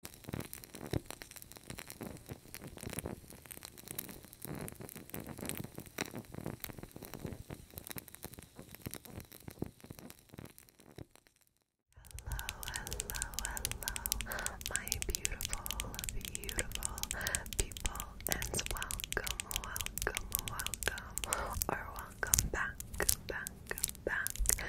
hello, hello, my beautiful, beautiful people, and welcome, welcome, welcome, or welcome back, back, back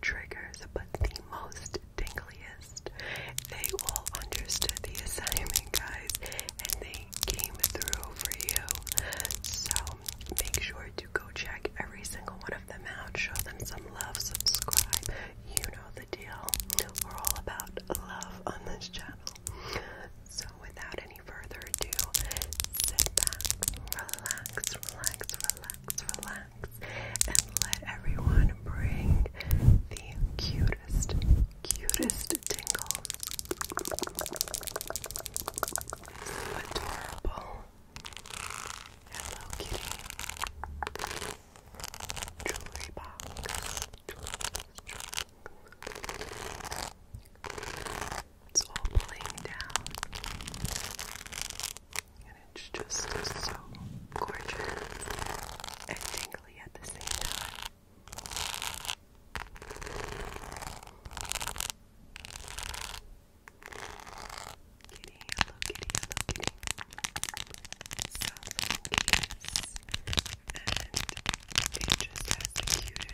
triggers, but the most tingliest. They all understood the assignment, guys, and they came through for you. So make sure to go check every single one of them out. Show them some love, subscribe. You know the deal. We're all about love on this channel. So without any further ado, sit back, relax, relax, relax, relax and let everyone bring the cutest, cutest tingles. Adorable. Hello Kitty. Jewelry box. It's all playing down and it's just so gorgeous and tingly at the same time. Kitty, hello kitty, hello kitty. So many And just cutest charms and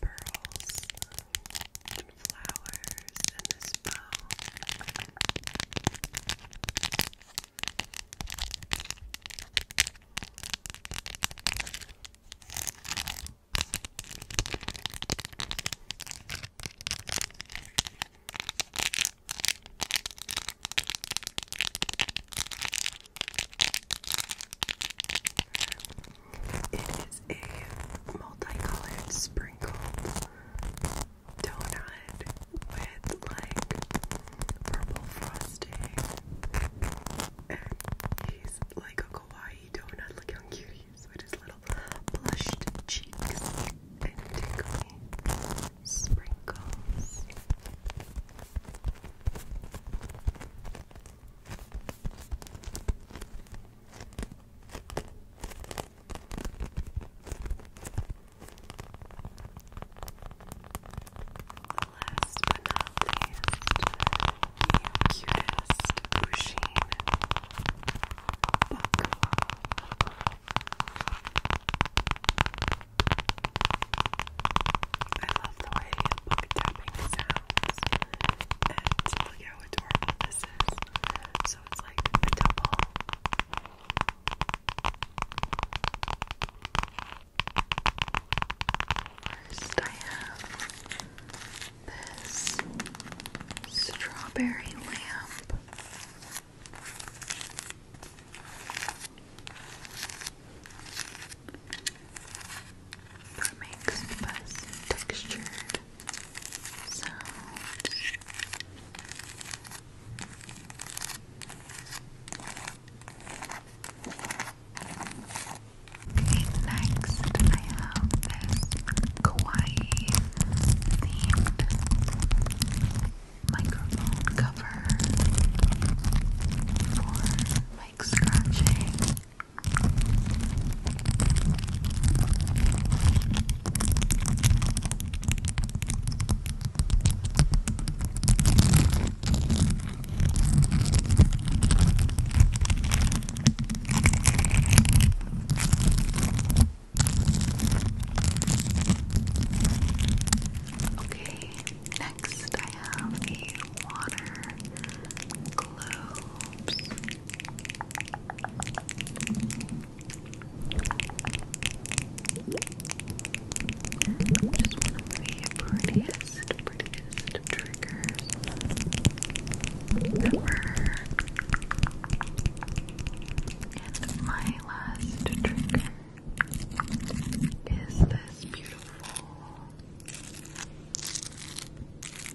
pearls and flowers and this bow. It is a multicolored sprinkled donut with like purple frosting. And he's like a kawaii donut. Look how with his little blushed cheeks and tickly sprinkles. Last but not least, the cutest machine I love the way book tapping sounds. And look how adorable this is. So it's like a double. First, I have this strawberry lamp. That makes the textured sound. next I have this kawaii themed microphone cover for like scratching Okay, next I have a water globes just one the prettiest, prettiest triggers ever. And my last trigger is this beautiful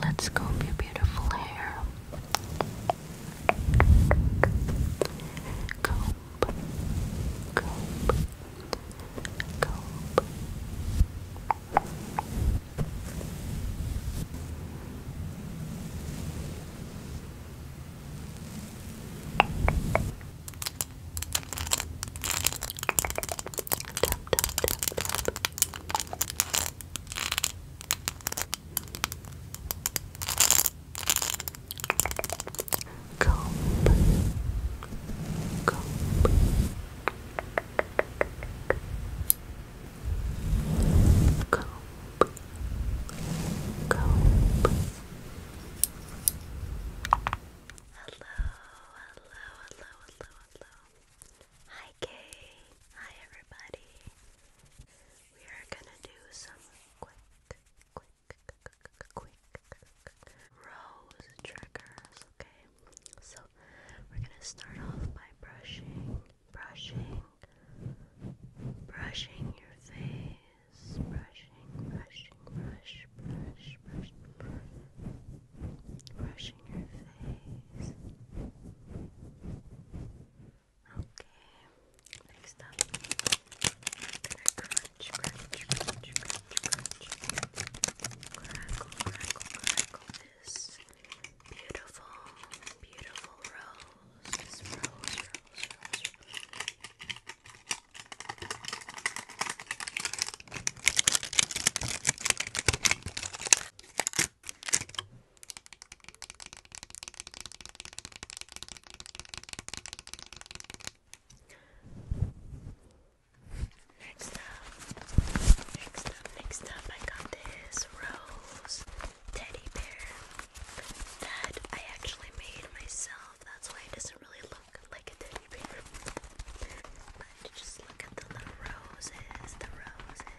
Let's comb your beautiful hair. comb, comb. Comb, Comb. Comb. Comb cope, cope. Hello, hello, hello, hello, hello. Hi, Kay. Hi, everybody. We are gonna do some quick, quick, quick, quick rose triggers, okay? So, we're gonna start off by brushing brushing, brushing your face, brushing, brushing, brush, brush, brush, brush, brushing your face. Okay, this beautiful, beautiful rose. Next up, next up, next up, I got this rose teddy bear that I actually made myself. That's why it doesn't really look like a teddy bear. But just look at the little roses, the roses.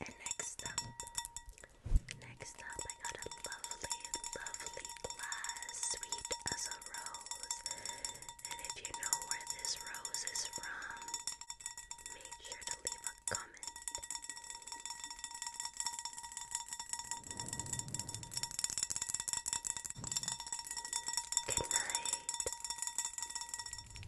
And next up, next up, I got a lovely, lovely glass, sweet as a rose. And if you know where this rose is from, make sure to leave a comment. Good night.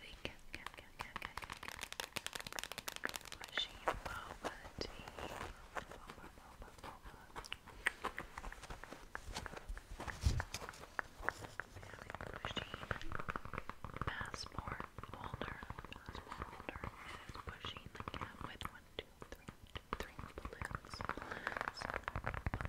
the cat, cat, cat, cat, cat, cat, machine boba tea. Boba, Pushing passport holder, passport holder, and pushing the cat with one, two, three, two, three balloons, balloons, balloons.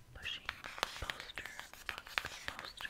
pushing poster, poster, poster, poster.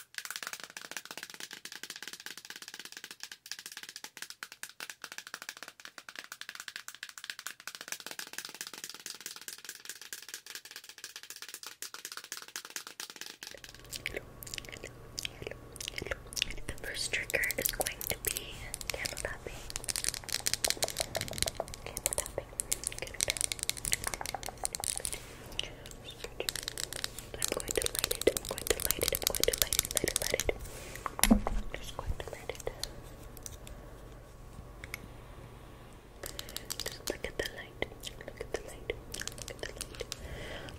Hello, hello, hello, hello. The first trigger is going to be candle tapping. Candle tapping. Candle tapping. Good. Good. I'm going to light it. I'm going to light it. I'm going to light it. Light it. Light it. I'm just going to light it. Just look at the light. Look at the light. Look at the light.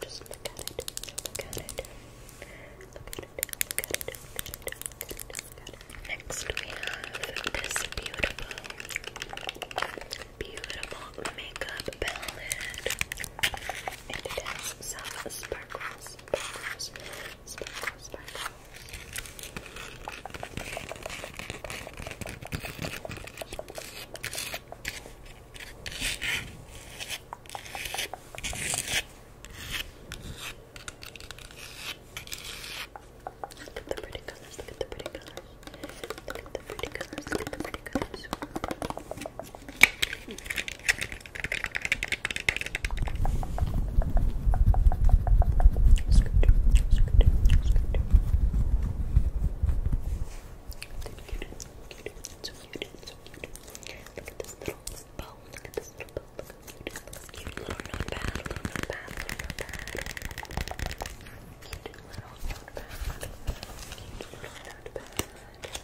Just look at it. Look at it. Look at it. Next we have this beautiful, beautiful makeup palette. And it has some sparkles, sparkles, sparkles, sparkles. Look at the pretty colors, look at the pretty colors. Look at the pretty colors, look at the pretty colors. It's so cute, it's so cute. Look at this little bow, look at this little bow, look at this little bow. Cute little notepad, little notepad, little notepad. Cute little notepad, cute little notepad.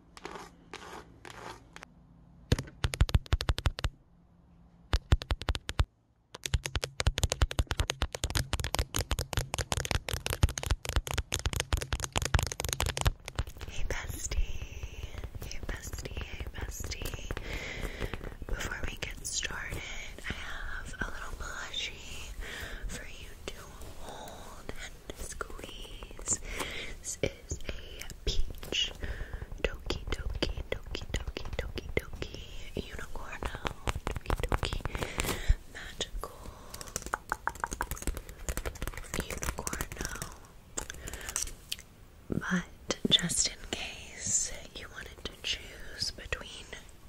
Hey bestie, hey bestie, hey bestie. Before we get started, I have a little plushie for you to hold squeeze. This is a peach Doki Doki Doki Doki Doki Doki Unicorn Doki Doki Magical Unicorn But just in case you wanted to choose between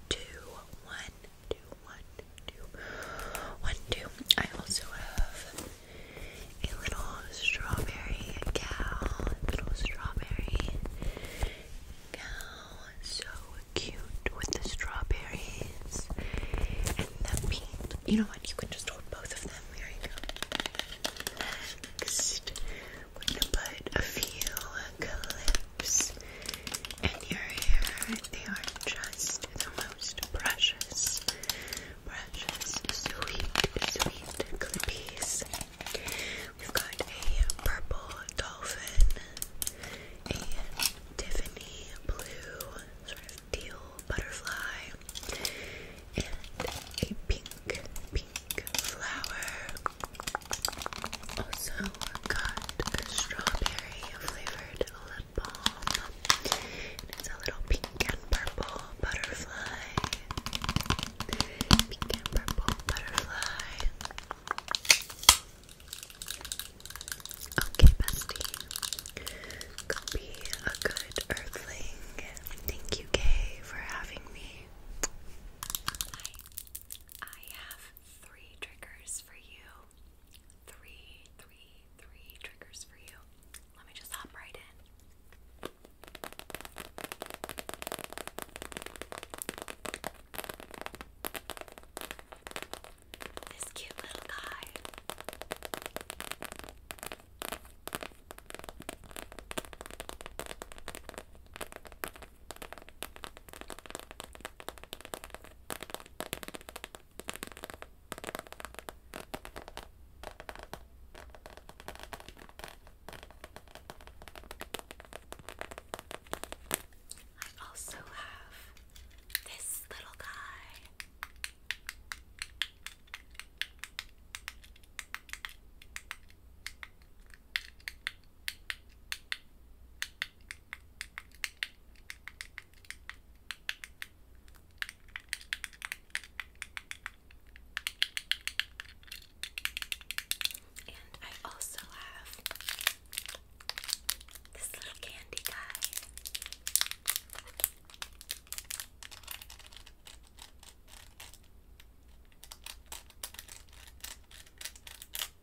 two one two, one, two, one, two. I also have a little strawberry cow, little strawberry cow, so cute with the strawberries and the paint. You know what? You can just hold both of them. There you go. Next, we're gonna put a few clips. And your hair. They are just the most precious, precious, sweet, sweet clippies. We've got a purple dolphin, a Tiffany blue, sort of teal butterfly, and a pink, pink flower. Also got a strawberry flavored it's a little pink and purple butterfly. Pink and purple butterfly. Okay, bestie. Could be a good earthling. Thank you, Kay, for having me. Hi. I have three triggers for you three, three, three triggers for you. Let me just hop right in. This cute little guy. I also have this little guy. And I also have this little candy guy.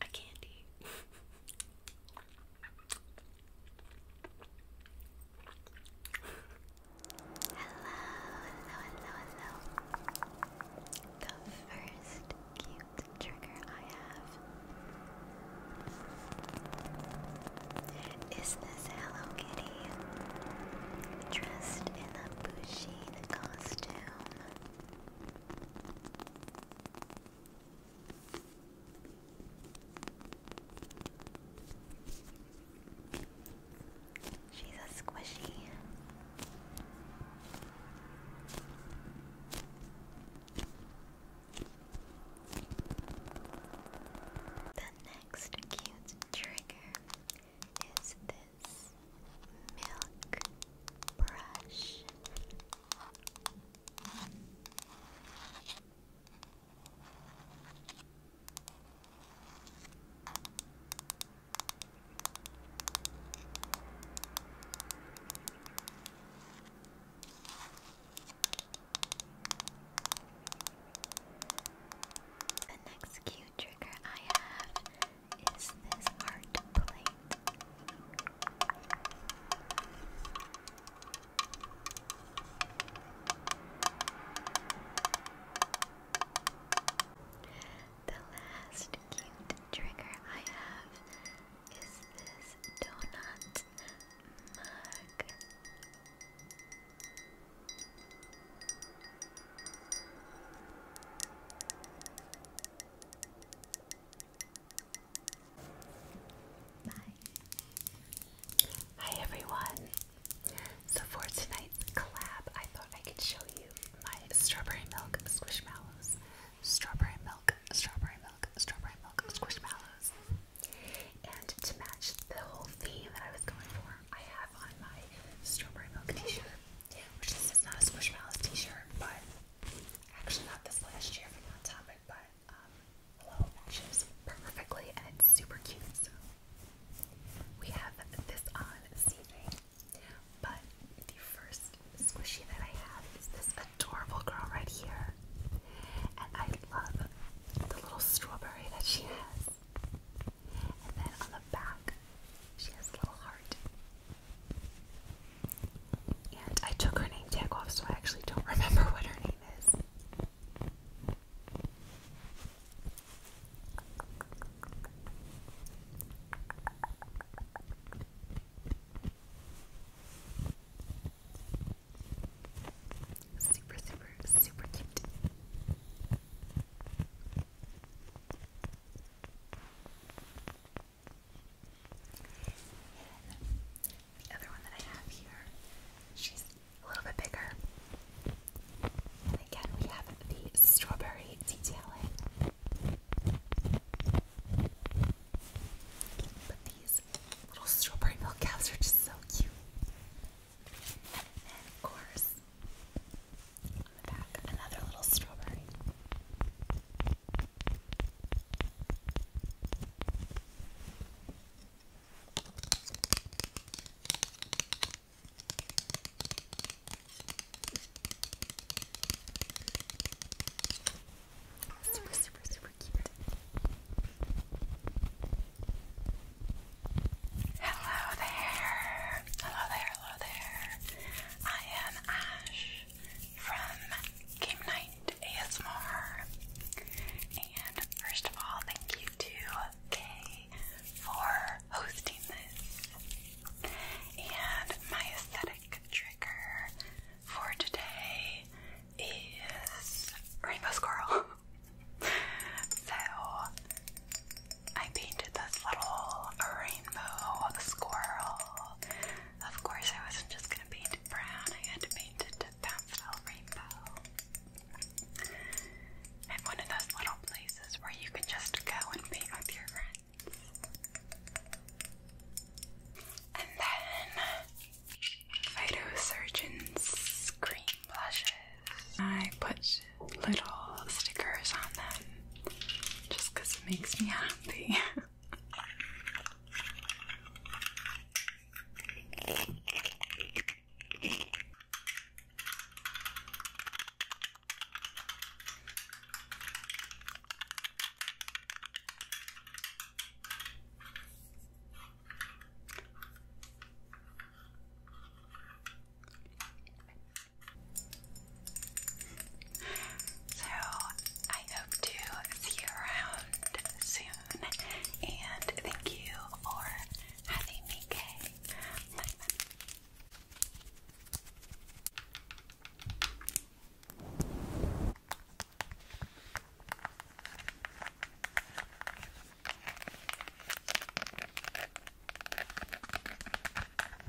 a candy. hello, hello, hello, hello. The first cute trigger I have is this Hello Kitty dressed in a bushy costume. She's a squishy. The next cute trigger is this is milk brush. The next cute trigger I have is this hard to play? The last cute trigger I have is this donut mug. Bye. Hi everyone. So for tonight's collab, I thought I could show you my strawberry milk squishmallows. Strawberry milk, strawberry milk, strawberry milk squishmallows. And to match the whole theme that I was going for, I have on my strawberry milk t-shirt which this is not a Squishmallows t-shirt, but actually got this last year from Hot Topic, but um, hello, matches perfectly, and it's super cute, so we have this on this but the first squishy that I have is this adorable girl right here, and I love the little strawberry that she has, and then on the back, she has a little heart, and I took her name tag off, so I actually don't remember what her name is. Super, super, super cute the other one that I have here, she's a little bit bigger. And again, we have the strawberry detailing. But these little strawberry milk cows are just so cute. And of course, another little strawberry. Super, super, super cute. Hello there. Hello there hello there. I am Ash from Game Night ASMR. And first of all, thank you to Kay for hosting this. And my aesthetic trigger for today is Rainbow Squirrel. so I painted this little rainbow squirrel. Of course, I wasn't just gonna paint it brown, I had to paint it a pastel rainbow. And one of those little places where you can just go and paint with your friends. And then Phytosurgeon's cream blushes. I put little stickers on them just because it makes me happy. So I hope to see you around soon, and thank you for having me, Kay.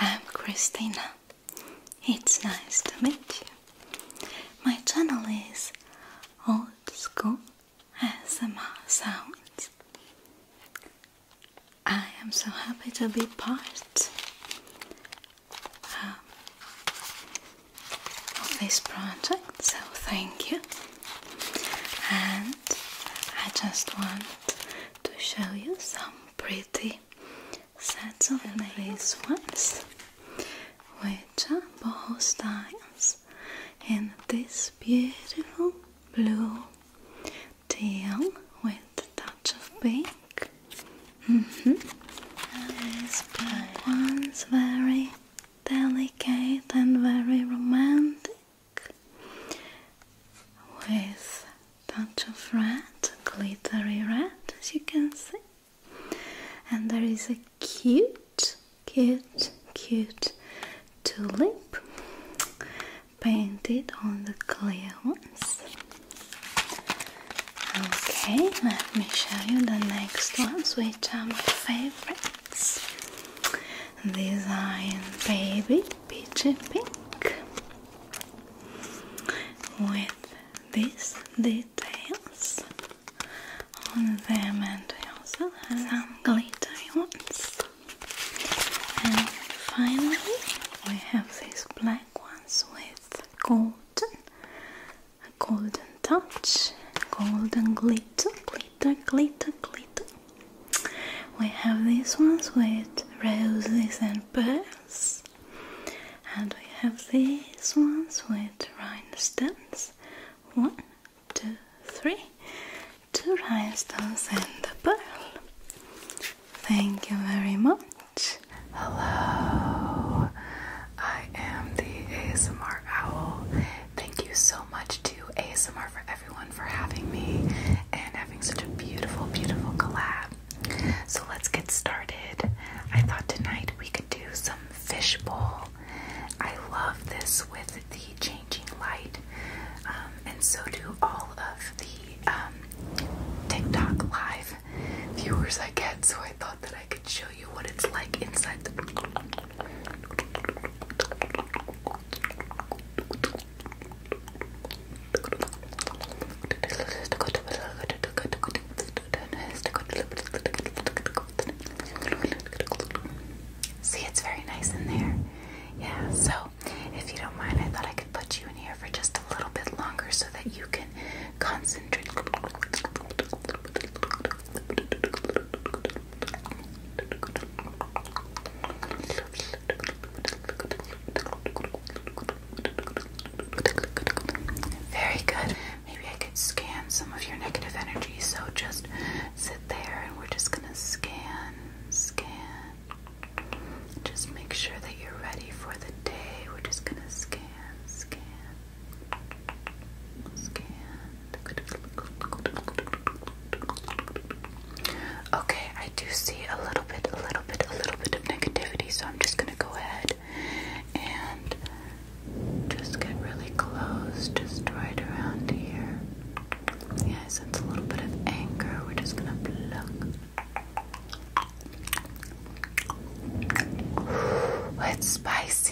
I'm Christina. It's nice to meet you. My channel is Old School ASMR Sounds. I am so happy to be part um, of this project, so thank you. And I just want to show you some pretty sets of these ones, which are boho styles in this beautiful blue teal with a touch of pink. Mm -hmm. And ones, very delicate and very romantic with touch of red, glittery red as you can see. And there is a cute, cute, cute tulip painted on the clear ones. Okay, let me show you the next ones, which are my favorite favorites. These are in baby peachy pink with these details on them, and I also have some glittery ones. And finally, we have these black ones with golden a golden touch, golden glitter, glitter, glitter, glitter. We have these ones with roses and pearls, and we have these ones with rhinestones. One, two, three. Two rhinestones and a pearl. Thank you very much. Hello, I am the ASMR Owl. Thank you so much to ASMR for everyone for having me and having such a beautiful, beautiful collab. So let's get started. I thought tonight we could do some fishbowl. I love this with the changing light, um, and so do all of the um, TikTok live viewers I get. So I thought that I could show you what it's like inside the See, it's very nice in there. Yeah, so if you don't mind, I thought I could put you in here for just a little bit longer so that you can concentrate. Very good. Maybe I could scan some of your negative energy. So just sit there and we're just going to scan, scan. Just make sure that you're ready for the day. We're just going to scan, scan, Okay, I do see a little bit, a little bit, a little bit of negativity, so I'm just gonna go ahead and just get really close, just right around here. Yeah, I sense a little bit of anger. We're just gonna pluck. It's spicy.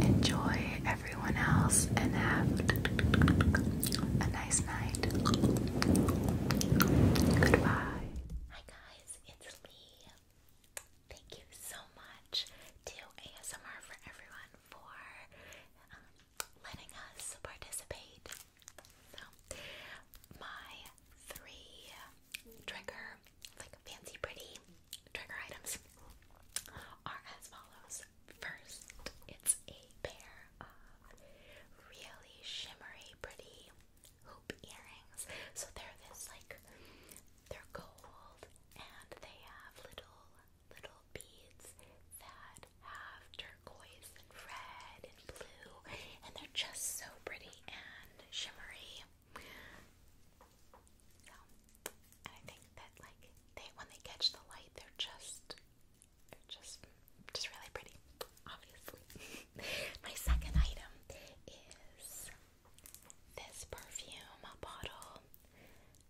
Enjoy everyone else and have a nice night. Goodbye. Hi guys, it's Lee. Thank you so much to ASMR for everyone for um, letting us participate. my three trigger like fancy pretty trigger items are as follows. First, it's a pair of really shimmery pretty hoop earrings. So they're this like they're gold and they have little little beads that have turquoise and red and blue and they're just so pretty and shimmery and I think that like they when they catch the light, they're just they're just just really pretty, obviously. My second item is this perfume bottle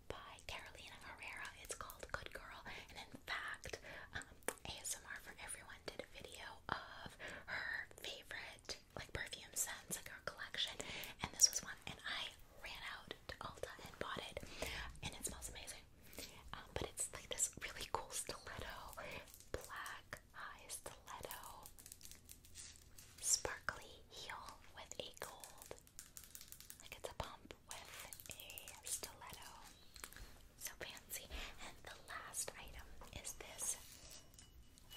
by Carolina Herrera. It's called Good Girl, and in fact, um, ASMR for Everyone did a video of her favorite like perfume scents, like our collection. And this was one, and I ran out to Ulta and bought it, and it smells amazing. Um, but it's like this really cool stiletto, black high stiletto, sparkly heel with a gold. Like it's a pump with a stiletto. So fancy. And the last item is this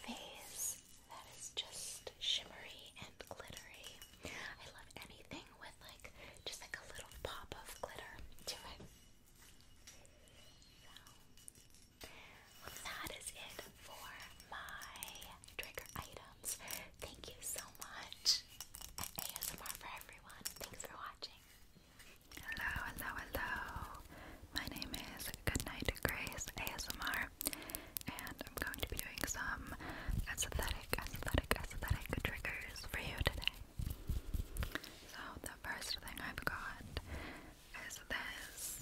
vase that is just shimmery and glittery. I love anything with like just like a little pop of glitter to it. well, that is it for my trigger items. Thank you so much. ASMR for everyone. Thanks for watching. Hello, hello, hello. My name is Goodnight Grace ASMR and I'm going to be doing some aesthetic, aesthetic, aesthetic triggers for you today. So the first thing I've got is this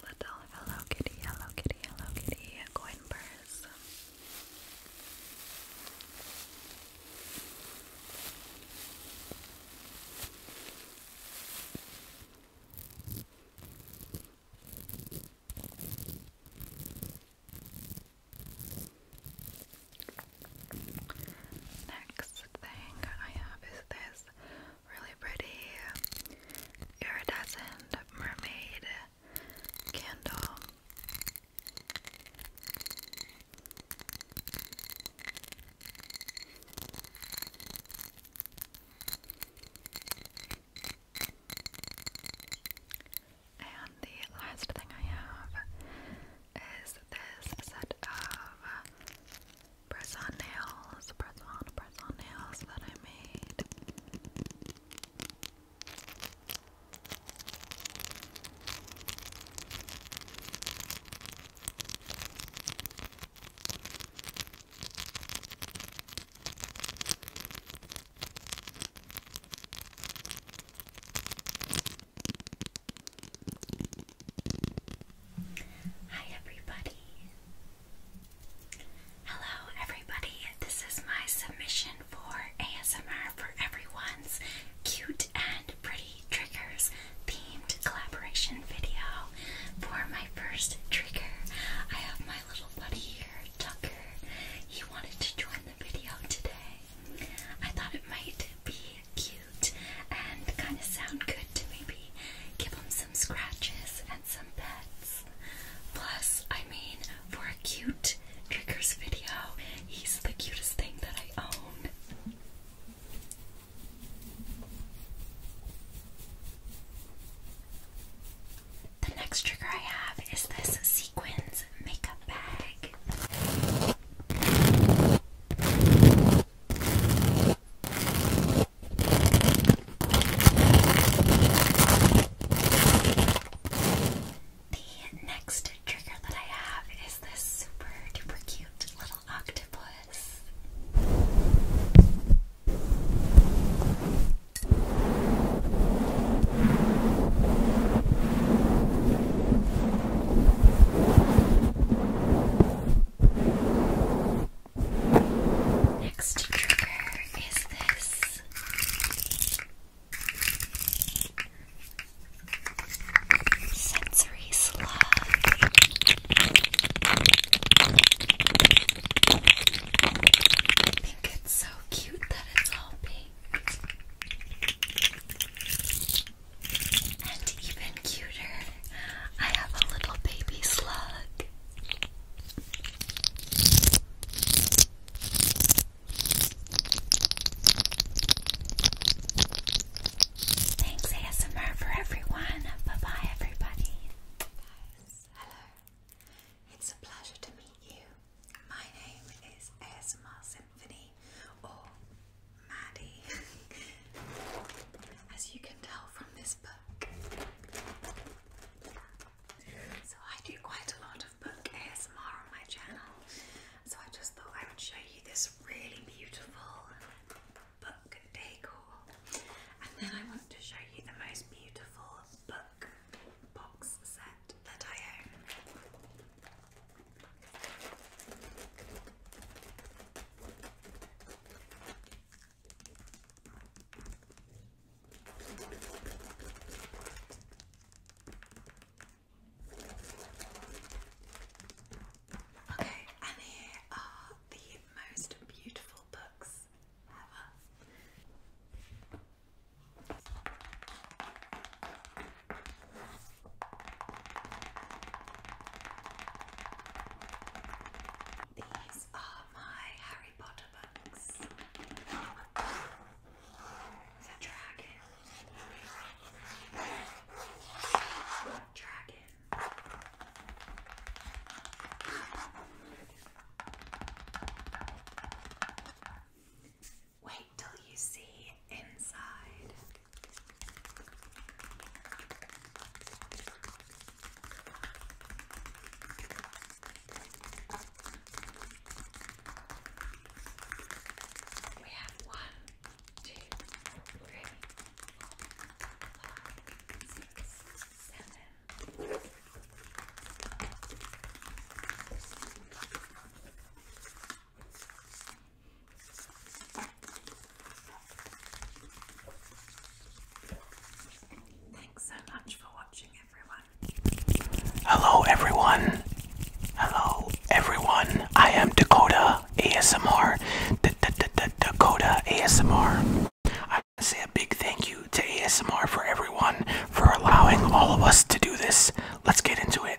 little Hello Kitty, Hello Kitty, Hello Kitty coin purse. Next thing I have is this really pretty iridescent mermaid candle. And the last thing I have is this set of press on nails, press on, press on nails that I made. Hi, everybody. Hello, everybody. This is my submission for ASMR for Everyone's Cute and Pretty triggers themed collaboration video. For my first trigger, I have my little buddy here, Tucker. He wanted to join the video today. I thought it might be cute and kind of sound good to maybe give him some scratches and some pets. Plus, I mean, for a cute triggers video, he's the cutest thing that I own. The next trigger I have is this sequins makeup bag. The next trigger that I have is this super duper cute little octopus. Next trigger is this. Sensory sugary I think it's so cute that it's all pink. And even cuter, I have a little baby slug. Thanks ASMR for everyone. Bye bye everybody. hello. It's a pleasure to meet you. My name is ASMR Symphony or Maddie. As you can tell from this book. So I do quite a lot of book ASMR on my channel. So I just thought I would show you this really beautiful book decor. And then I want to show you the most beautiful book box set that I own. Okay, and here are the most beautiful books ever. These are my Harry Potter books. The dragon. Dragon. Wait till you see inside. We have one Thanks so much for watching, everyone. Hello, everyone. Hello, everyone. I am Dakota. ASMR. D -d -d -d Dakota ASMR. I want to say a big thank you to ASMR for everyone for allowing all of us to do this. Let's get into it.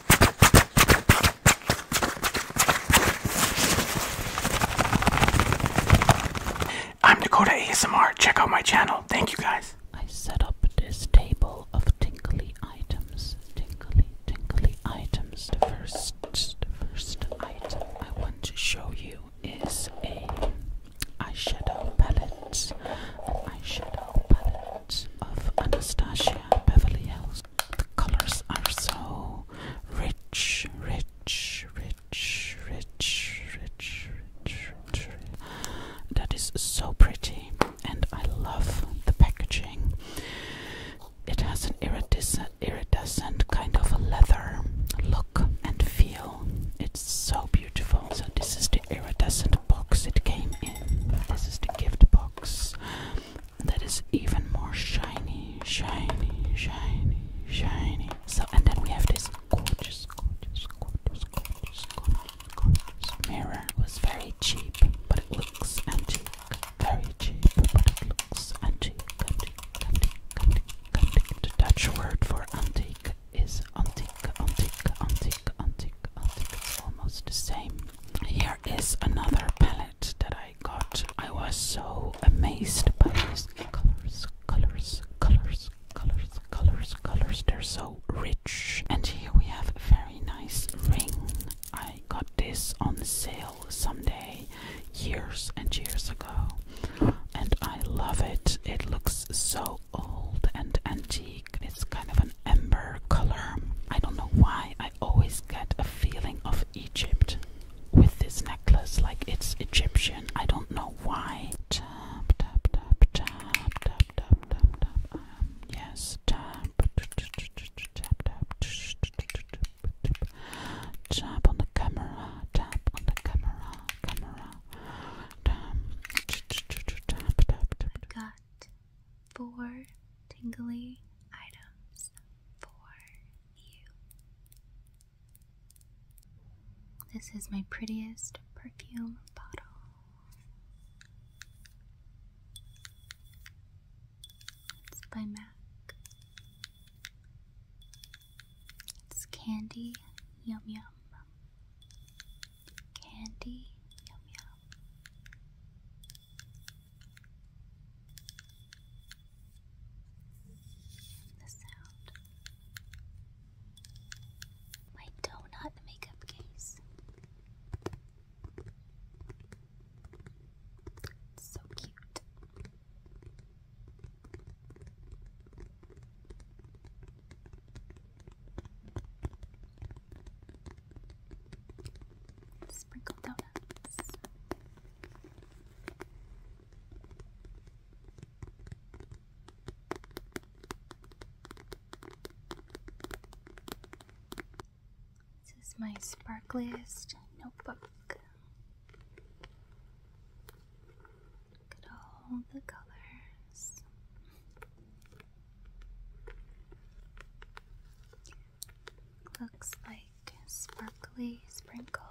I'm Dakota ASMR. Check out my channel. Thank you guys. I set up this table of tingly items. Tingly, tingly items. The first, first item I want to show you is a eyeshadow palette. An eyeshadow palette of Anastasia Beverly Hills. The colors are so rich, rich, rich, rich, rich, rich, rich. That is so pretty, and I love the packaging. It has an iridescent, iridescent kind of a leather look and feel. It's so beautiful. So this is the iridescent box it came in. This is the gift box box that is even more shiny, shiny, shiny, shiny. So, and then we have this gorgeous, gorgeous, gorgeous, gorgeous, gorgeous, gorgeous mirror. It was very cheap, but it looks antique. Very cheap, but it looks antique. Antique, antique, antique, antique. The Dutch word for antique is antique, antique, antique, antique, antique. It's almost the same. Here is another palette that I got. I was so amazed by these colors, colors, colors, colors, colors, colors. They're so rich. And here we have a very nice ring. I got this on sale someday years and years ago. And I love it. It looks so old and antique. It's kind of an an color. I don't know why I always get a feeling of Egypt with this necklace, like it's Egyptian. I don't know why. yes, tap on the camera. Tap on the camera. Camera four tingly items for you. This is my prettiest perfume bottle. It's by MAC. It's candy yum yum. Candy, yum yum. The sound. My donut makeup case. so cute. Sprinkle donuts. This is my sparkliest notebook. Look at all the colors. Looks like sparkly sprinkles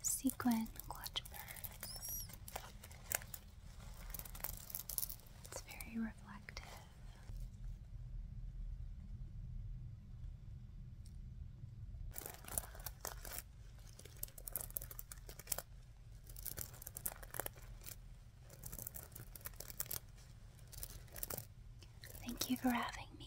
sequin clutch birds. It's very reflective. Thank you for having me.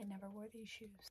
I never wore these shoes.